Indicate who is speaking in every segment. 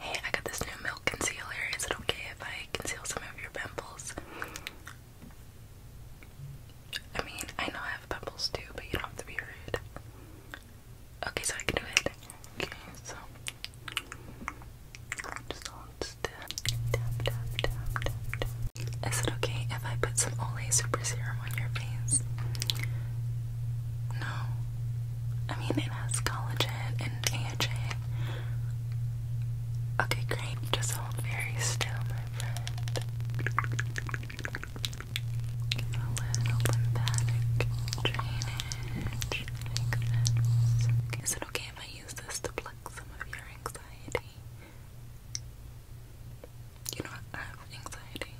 Speaker 1: Hey, I got this new milk concealer. Is it okay if I conceal some of your pimples? I mean, I know I have pimples too, but you don't have to be rude. Okay, so I can do it. Okay, so just don't Tap, tap, Is it okay if I put some Olay Super Serum on your face? No. I mean, it has collagen and AHA. Okay, great. Just hold very still, my friend. A little lymphatic drainage is it okay if I use this to pluck some of your anxiety? You know, I have anxiety.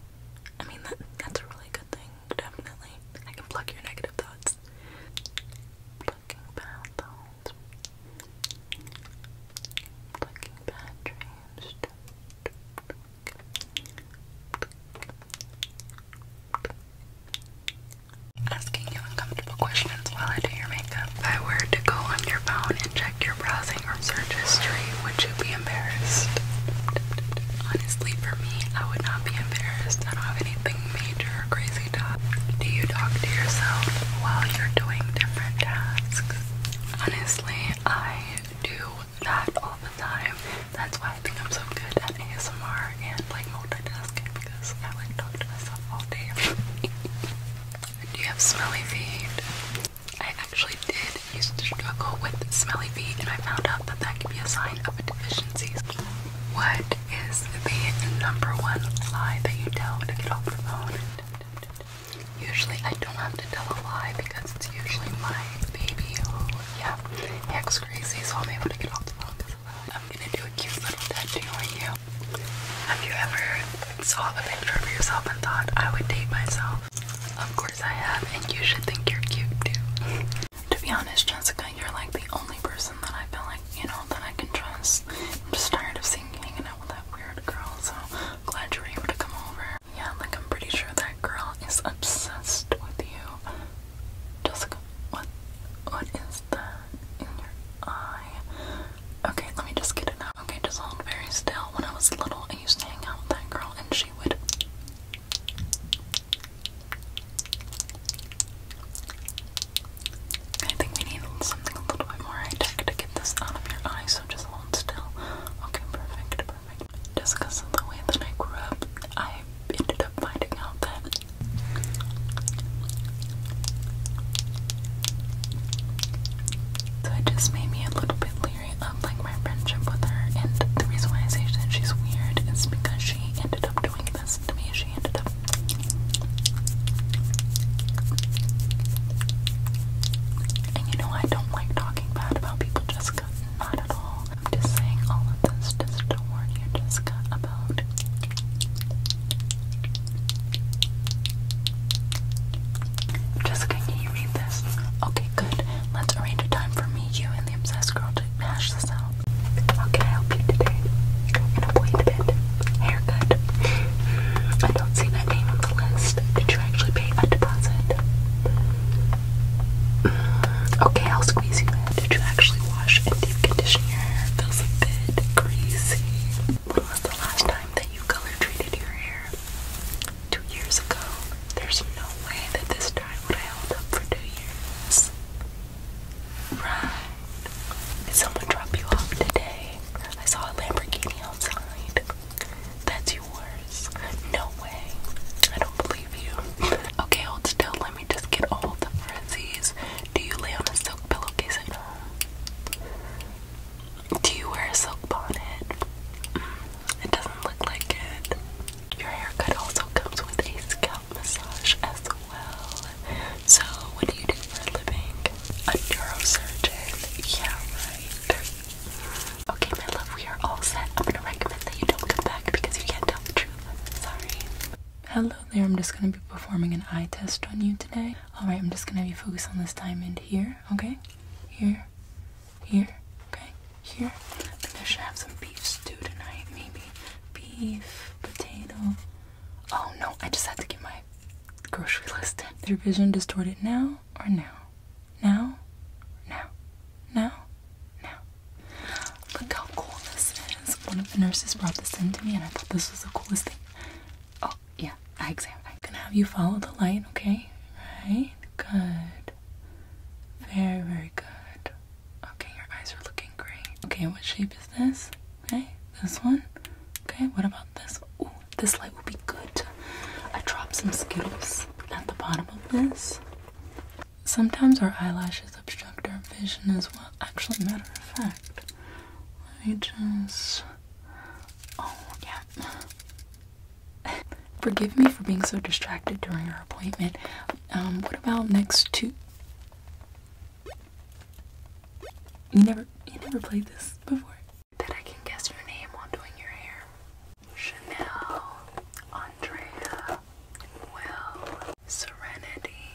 Speaker 1: I mean, that's a really good thing definitely. I can pluck your negative thoughts. Plucking bad thoughts. Plucking bad dreams. Asking you uncomfortable questions while I do your makeup. If I were to go on your phone and check your browsing or search history, would you be embarrassed? Honestly, me. I would not be embarrassed. I don't have anything major or crazy Do you talk to yourself while you're doing different tasks? Honestly, I do that all the time. That's why I think I'm so good at ASMR and like multitasking because I like talk to myself all day. do you have smelly feet? I actually did used to struggle with smelly feet and I found out that that could be a sign of a deficiency. What is the number one lie that you tell to get off the phone? Usually I don't have to tell a lie because it's usually my baby who, yeah, he acts crazy so I'm able to get off the phone because I'm gonna do a cute little tattoo on you. Have you ever saw a picture of yourself and thought I would date myself? Of course I have and you should think you're cute too. To be honest, Jessica, you're like the only person that I feel like, you know, that I can trust. I'm just tired of seeing you hanging out with that weird girl, so glad you were able to come over. Yeah, like I'm pretty sure that girl is obsessed with you. Jessica, what what is that in your eye? Okay, let me just get it out. Okay, just hold very still. When I was little and used to hang out with that girl and she would I think we need something a little bit more high tech to get this out of your eye, so just hold still. Okay, perfect, perfect. Just of the way that I grew up, I ended up finding out that so it just made me a little bit leery of like my friendship with her and the reason why I say that she's weird is because she she ended up doing this to me. She ended up. And you know, I don't like talking bad about people, Jessica. Not at all. I'm just saying all of this just to warn you, Jessica, about. Jessica, can you read this? Okay, good. Let's arrange a time for me, you, and the obsessed girl to hash this out. How can I help you today? An appointment? Haircut? I don't see that name on the list. Did you actually pay a deposit? Okay, I'll squeeze you in. Did you actually wash and deep condition your hair? feels a bit greasy. When was the last time that you color treated your hair? Two years ago. There's no way that this I Right. someone drop you off today? I saw a Lamborghini outside. That's yours. No way. I don't believe you. Okay, hold still. Let me just get all the frizzies. Do you lay on a silk pillowcase Do you wear a silk bonnet? Mm, it doesn't look like it. Your haircut also comes with a scalp massage as well. So, what do you do for a living? A neurosurgeon? Yeah, right. Okay, my love, we are all set. I'm gonna recommend that you don't come back because you can't tell the truth. Sorry. Hello there, I'm just gonna be performing an eye test on you today. Alright, I'm just gonna be focused on this diamond here, okay? Here, here, okay? Here. I think I should have some beef stew tonight, maybe. Beef, potato. Oh no, I just have to get my grocery list in. Is your vision distorted now or now? Now? Now? Now? Now? Look how cool this is. One of the nurses brought this in to me and I thought this was the coolest thing. Oh, yeah, eye exam. I'm gonna have you follow the light, okay? Right? Good. Very, very good. Okay, your eyes are looking great. Okay, what shape is this? Okay, this one. Okay, what about this? Ooh, this light will be good. I dropped some Skittles at the bottom of this. Sometimes our eyelashes obstruct our vision as well. Actually, matter of fact, let me just. Oh, yeah. Forgive me for being so distracted during our appointment. Um, what about next two? You never, you never played this before. That I can guess your name while doing your hair. Chanel, Andrea, Will, Serenity,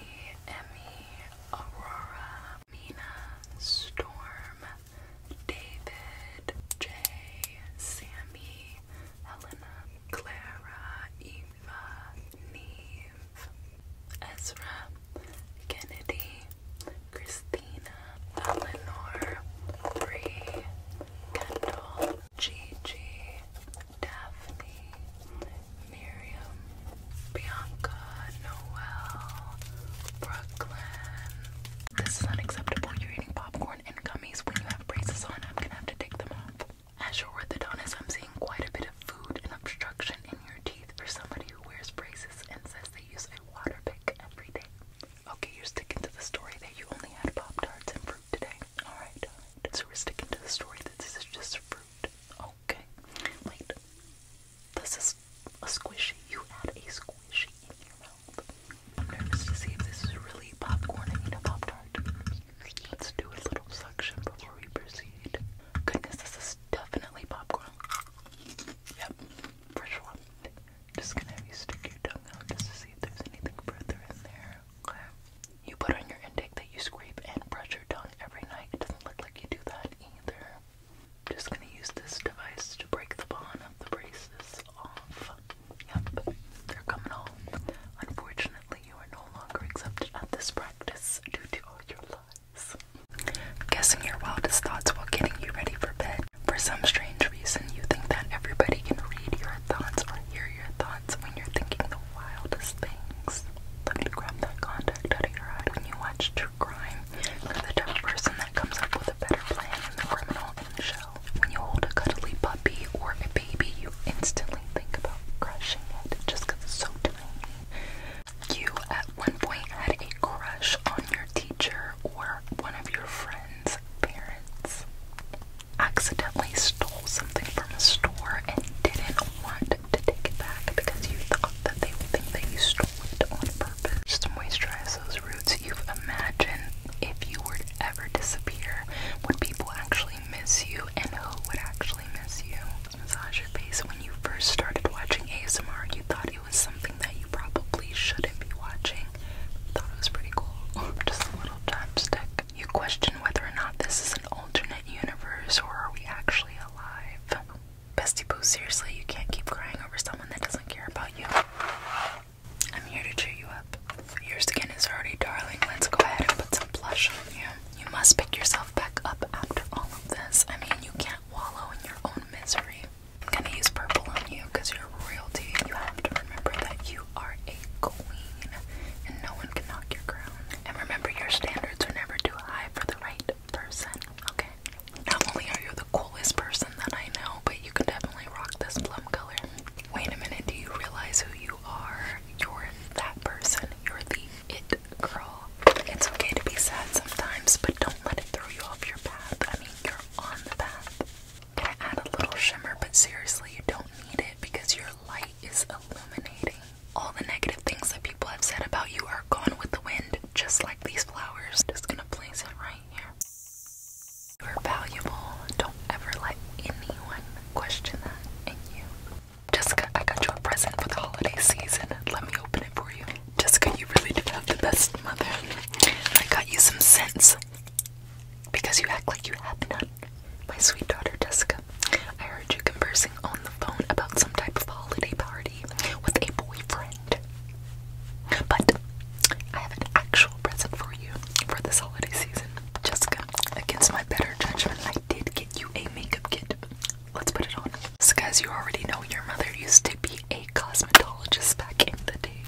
Speaker 1: Emmy, Aurora, Mina, Storm, David, Jay, Sammy, Helena, Clara, Eva, Neve, Ezra, Kennedy, Christina, Eleanor, Bree, Kendall, Gigi, Daphne, Miriam, Bianca, Noel, Brooklyn. This is unacceptable. You're eating popcorn popcorn and gummies when you have braces on. I'm gonna have to take them off. As your orthodontist, I'm seeing quite a bit of food and obstruction in your teeth for somebody who wears braces and says they use a water pick every day. Okay, you're sticking to the story that you only had Pop Tarts and fruit today. Alright, alright. So we're sticking to the story that this is just fruit. Okay. Wait. This is a squishy. You had a squishy in your mouth. I'm nervous to see if this is really popcorn. I need a Pop Tart. Let's do a little suction before we proceed. Goodness, this is definitely popcorn. Yep, fresh one. Just gonna have you stick your tongue out just to see if there's anything further in there. You put on your intake that you scrape and brush your tongue every night. It doesn't look like you do that either. I'm just gonna use this device to break the bond of the braces off. Yep, they're coming home. Unfortunately, you are no longer accepted at this practice due to all your lies. Guessing your wildest thoughts while getting you ready for bed. For some strange reason, you think that everybody can read your thoughts or hear your thoughts when you're thinking the wildest things. Let me grab that contact out of your eye. When you watch true crime, you're the type person that comes up with a better plan than the criminal in the show when you hold a cuddly puppy or a baby, you instantly think about crushing it just because it's so tiny. You at one point had a crush on your teacher or one of your friends' parents. Accidentally stole something from a store and didn't want to take it back because you thought that they would think that you stole it on purpose. Just moisturize those roots you've imagined if you were to ever disappear, would people actually miss you and who would actually miss you? Massage your face. When you first started watching ASMR, you thought it was something that you probably shouldn't be watching. Thought it was pretty cool. Just a little chopstick. You question whether or not this is an alternate universe or are we actually alive? Bestie Boo, seriously, you can't keep crying over someone that doesn't care about you. I'm here to cheer you up. Your skin is already darling. Let's go ahead and put some blush on you. You must pick yourself back up after all of this. I mean, you can't wallow in your own misery. I'm gonna use purple on you because you're royalty. You have to remember that you are a queen and no one can knock your crown. And remember, your standards are never too high for the right person, okay? Not only are you the coolest person that I know, but you can definitely rock this plum color wait a minute, do you realize who you are? You're that person. You're the it girl. It's okay to be sad sometimes, but don't let it throw you off your path. I mean, you're on the path. going add a little shimmer, but seriously, you don't need it because your light is illuminating. All the negative things that people have said about you are gone with the wind, just like these flowers. Just gonna place it right here. You are valuable. Don't ever let anyone question that in you. Jessica, I got you a present for the holiday season. Let me open it for you. Jessica, you really do have the best mother. I got you some scents because you act like you have none. My sweet daughter, Jessica, I heard you conversing on the phone about some type of holiday party with a boyfriend. But I have an actual present for you for this holiday season. Jessica, against my better judgment, I did get you a makeup kit. Let's put it on. So, guys, you already know your mother used to be a cosmetologist back in the day.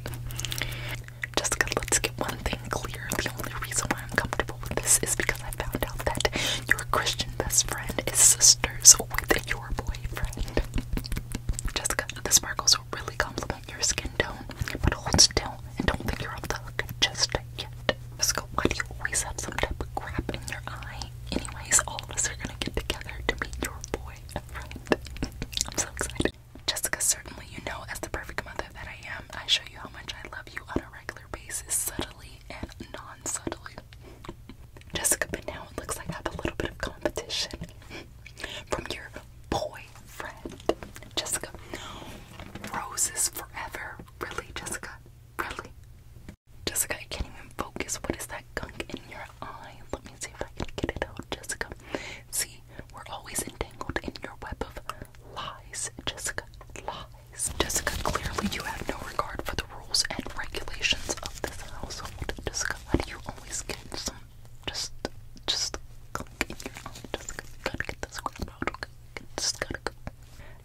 Speaker 1: Jessica, let's get one thing clear. The only reason why I'm comfortable with this is because I found out that your Christian best friend is sisters with your boyfriend. Jessica, the sparkles really compliment your skin tone, but hold still and don't think you're off the hook just yet. Visco, why do you always have some type of crap in your eye? Anyways, all of us are gonna get together to meet your boy friend. I'm so excited. Jessica, certainly you know as the perfect mother that I am, I show you how much I love you on a regular basis, subtly and non-subtly. Jessica, but now it looks like I have a little bit of competition from your boy boyfriend. Jessica, roses forever. Really, Jessica? Really? Jessica, I can't even focus. What is that gunk in your eye? Let me see if I can get it out, Jessica. See, we're always entangled in your web of lies, Jessica. Lies. Jessica, clearly you have no regard for the rules and regulations of this household. Jessica, you always get just, just click in your eye. Just gotta get this grab out. Okay, just gotta go.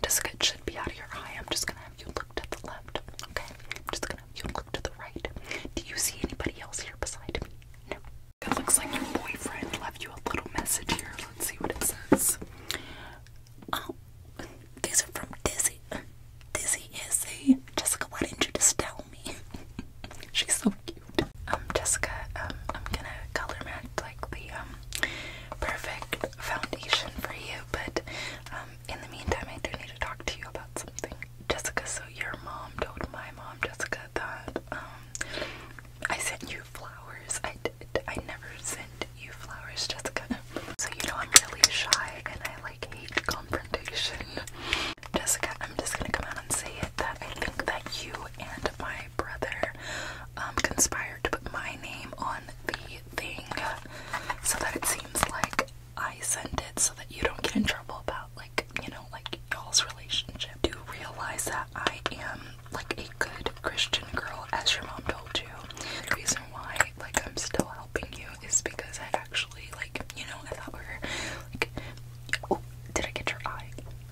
Speaker 1: Just it be out of your eye. I'm just gonna have you look to the left. Okay, I'm just gonna have you look to the right. Do you see anybody else here beside me? No. It looks like your boyfriend left you a little message here. Let's see what it says. Oh, these are from Dizzy. Dizzy is Jessica. Why didn't you just tell me? She's so cute. Um, Jessica, um, I'm gonna color match like the um, perfect foundation for you, but um, in the meantime, I do need to talk to you about something. Jessica, so your mom told my mom, Jessica, that I sent you flowers. I did. I never sent you flowers, Jessica. So you know I'm really shy and I like hate confrontation. Jessica, I'm just gonna come out and say it that I think that you and my brother um, conspired to put my name on the thing so that it seems like I sent it so that you don't get in trouble about like, you know, like y'all's relationship. Do realize that I am like a good Christian girl as your mom told you. The reason why like I'm still helping you is because I actually like, you know, I thought we were like Oh, did I get your eye?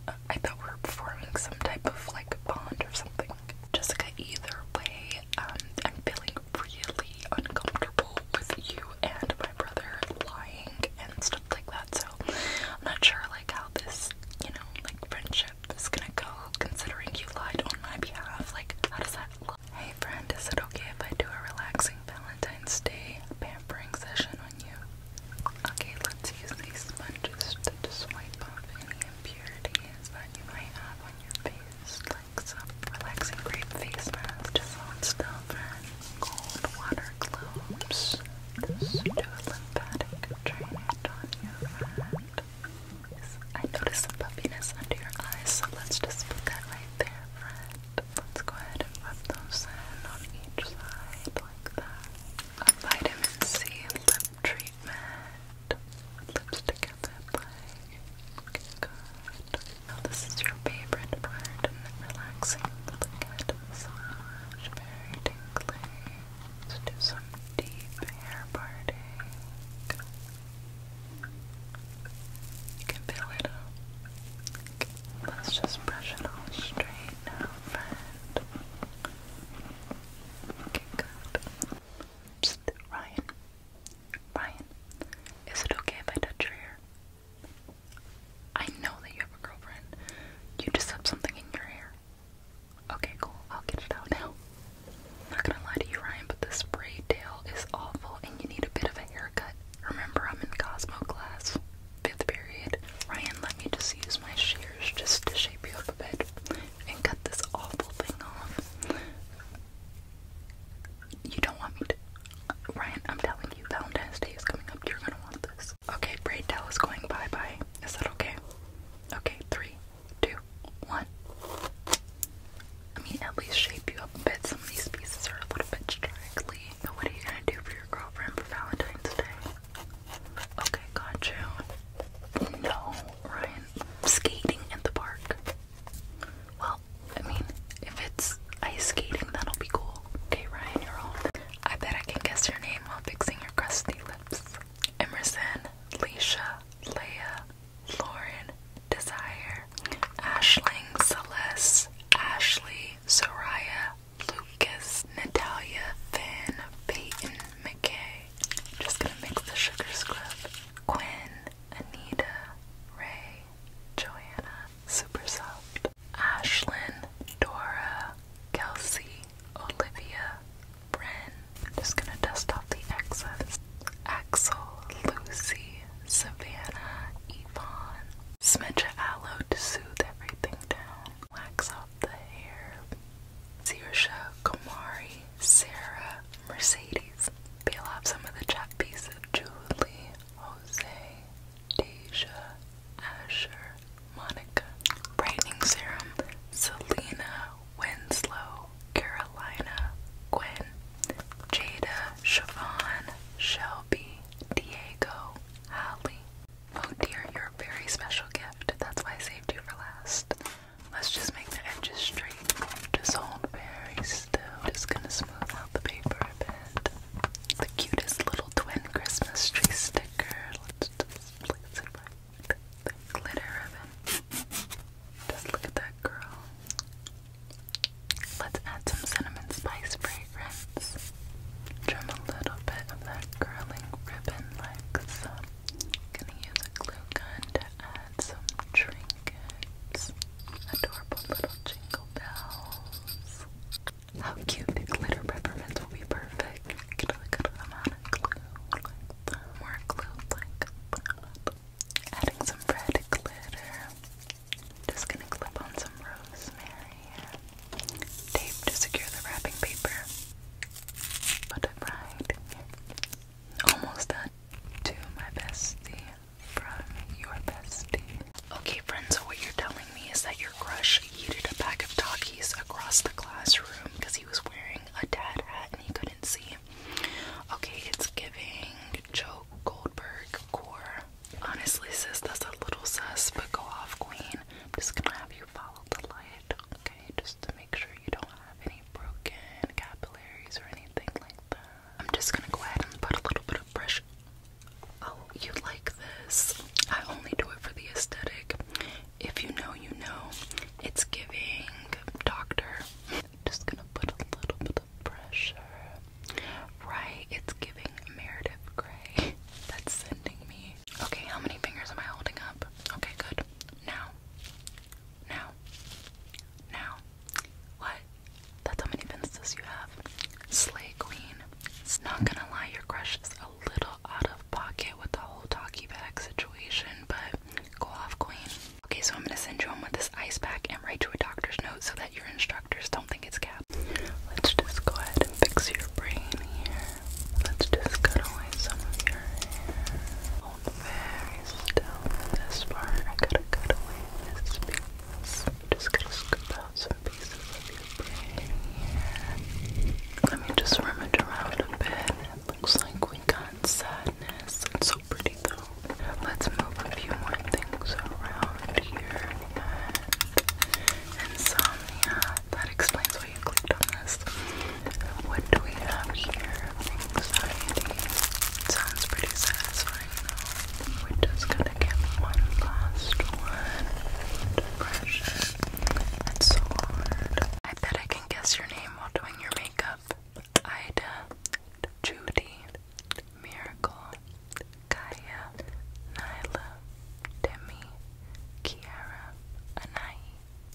Speaker 1: Uh, I thought we were performing some type of like bond or something. Jessica, either way, um, I'm feeling really uncomfortable with you and my brother lying and stuff like that. So I'm not sure like how this, you know, like friendship is gonna go considering you lied on my behalf. Like, how does that look? Hey friend, is it okay if I do a relaxing balance? Valentine's Day pampering session on you. Okay, let's use these sponges to, swipe off any impurities that you might have on your face, like some relaxing grape face mask. Just hold still for cold water globes. Just lymphatic drainage on your hand. I notice some puffiness under your eyes, so let's just put that right there, friend. Let's go ahead and rub those in on each side like that. vitamin C lip treatment. Lipstick at that play. Okay, good. this is your favorite part and relaxing lip head massage. Very tingly. Let's do some deep hair parting. You can feel it Let's just brush it all straight now, friend. Okay, good. Ryan. Ryan, is it okay if I touch your hair? I know that you have a girlfriend. You just have something in your hair. Okay, cool. I'll get it out now. not gonna lie to you, Ryan, but this spray tail is awful and you need a bit of a haircut. Remember, I'm in Cosmo class fifth period. Ryan, let me just use my shears just to shape you up a bit and cut this awful thing off. You don't want me to. Ryan, I'm telling you, Valentine's Day is coming up. You're gonna want this. Okay, Braid Towel is going bye bye. Is that okay? Okay, three, two, one. I mean, at least shape you up a bit. Some of these pieces are a little bit straggly what are you gonna do for your girlfriend for Valentine's Day? Okay, got you. No, Ryan. Skating at the park. Well, I mean, if it's ice skating, that'll be cool. Okay, Ryan, you're on. I bet I can guess your name while fixing your crusty lips. Emerson, Leisha, Leia, Lauren, Desire, Ashling, Celeste, Ashley, Soraya, Lucas, Natalia, Finn, Peyton, McKay. just gonna mix the sugar scrub. Quinn, Anita, Ray, Joanna, Super Soft, Ashlyn, Dora, Kelsey, Olivia, Bren. just gonna dust off the excess. Axel, Lucy, Savannah, Yvonne, Smudge of aloe to soothe everything down. Wax off the hair. Zirsha, Kumari, Sarah, Mercedes. Peel off some of the chop pieces. Julie, Jose, Deja, Asher, Monica. Brightening serum. Selena, Winslow, Carolina, Gwen, Jada, Siobhan, Shelby, Diego, Holly. Oh dear, you're a very special gift. That's why I saved you for last. Let's just make the edges straight. Just hold very still. Just gonna smooth out the paper a bit. The cutest little twin Christmas tree sticker. Let's just place it right glitter ribbon. Just look at that girl. Let's add some cinnamon spice fragrance. Trim a little bit of that curling ribbon like Gonna use a glue gun to add some trinkets. Adorable little jingle bells. How cute the glitter peppermints will be perfect. Get a good amount of glue More glue Adding some red glitter. Just gonna clip on some rosemary tape to secure the wrapping paper. Put Almost done. To my bestie from your bestie. Okay, friends, so what you're telling me is that your crush yeeted a pack of talkies across the classroom because he was wearing a dad hat and he couldn't see. Okay, it's giving Joe Goldberg core Honestly, sis, that's a little sus, but go off, queen. just gonna have you follow the light, okay? Just to make sure you don't have any broken capillaries or anything like that. I'm just gonna go ahead and put a little bit of pressure. Oh, you like this? I only do it for the aesthetic. If you know, you know. It's giving doctor. Just gonna put a little bit pressure. Right, it's giving Meredith Grey. That's sending me. Okay, how many fingers am I holding up? Okay, good. Now. Now. Now. What? That's how many fences you have. Slay Queen. It's not gonna lie, your crush is a little out of pocket with the whole talkie bag situation, but go off, Queen. Okay, so I'm gonna send you home with this ice pack and write you a doctor's note so that you're instructed doctors don't think it's cat. Let's just go ahead and fix your brain here. Let's just cut away some of your hair. Hold still this part. I gotta cut away this piece. Just going to scoop out some pieces of your brain here. Let me just it around a bit. It looks like we got sadness. It's so pretty though. Let's move a few more things around here insomnia. That explains why you clicked on this. What do we have here? Sounds pretty satisfying though. We're just gonna get one last one. Depression. That's so hard. I bet I can guess your name while doing your makeup. Ida, Judy, Miracle, Kaya, Nyla, Demi, Kiara, Anai,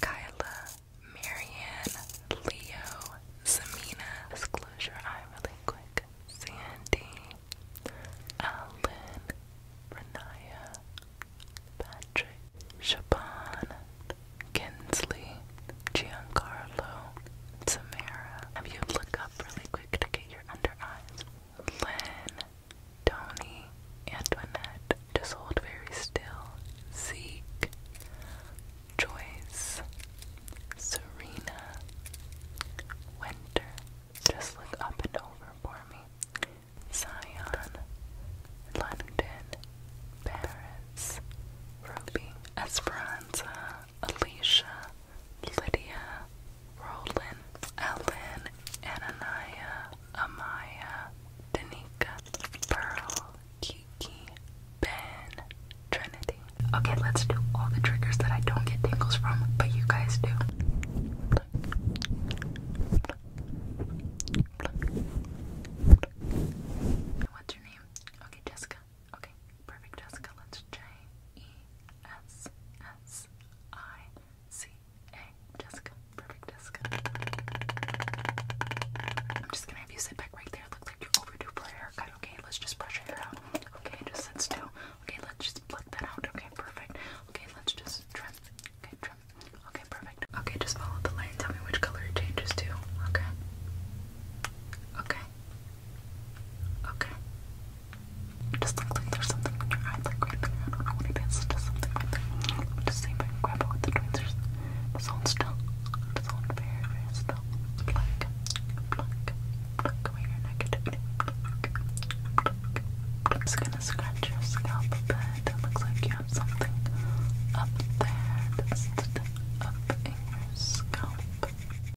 Speaker 1: Kyla, Marianne, Leo, Samina. Let's close your eye really quick. Sandy, Alan, Renaya, Patrick, Shaban, Kinsley, Giancarlo, Samara. Have you look up? really quick to get your under eyes. Lynn, Tony, Antoinette, just hold very still. Zeke, Joyce, Serena, Winter, just look up and over for me. Zion, London, Paris, Ruby, Esperanza, Alicia, Lydia, Roland, Ellen, Ananiah, Amaya, Danika, Pearl, Kiki, Ben, Trinity. Okay, let's do all the triggers that I don't get tingles from, but you guys do. What's your name? Okay, Jessica. Okay, perfect, Jessica. Let's J E S S I C A. Jessica, perfect, Jessica. I'm just gonna have you sit back right there. Looks like you're overdue for a haircut. Okay, let's just brush your hair out. Okay, just sit still. Okay, let's just pluck that out. Okay, perfect. Okay, let's just trim. Okay, trim. Okay, perfect. Okay, just follow the line. Tell me which color it changes to. Okay. Okay. Okay. It just looks like there's something in your eye, like right I don't know what it is. just something right there. just see if grab it with the tweezers. Just hold still. Just hold very, very still. Pluck, pluck, pluck away your negativity. Pluck, pluck, Just gonna scratch your scalp a bit. It looks like you have something up there. up in your scalp.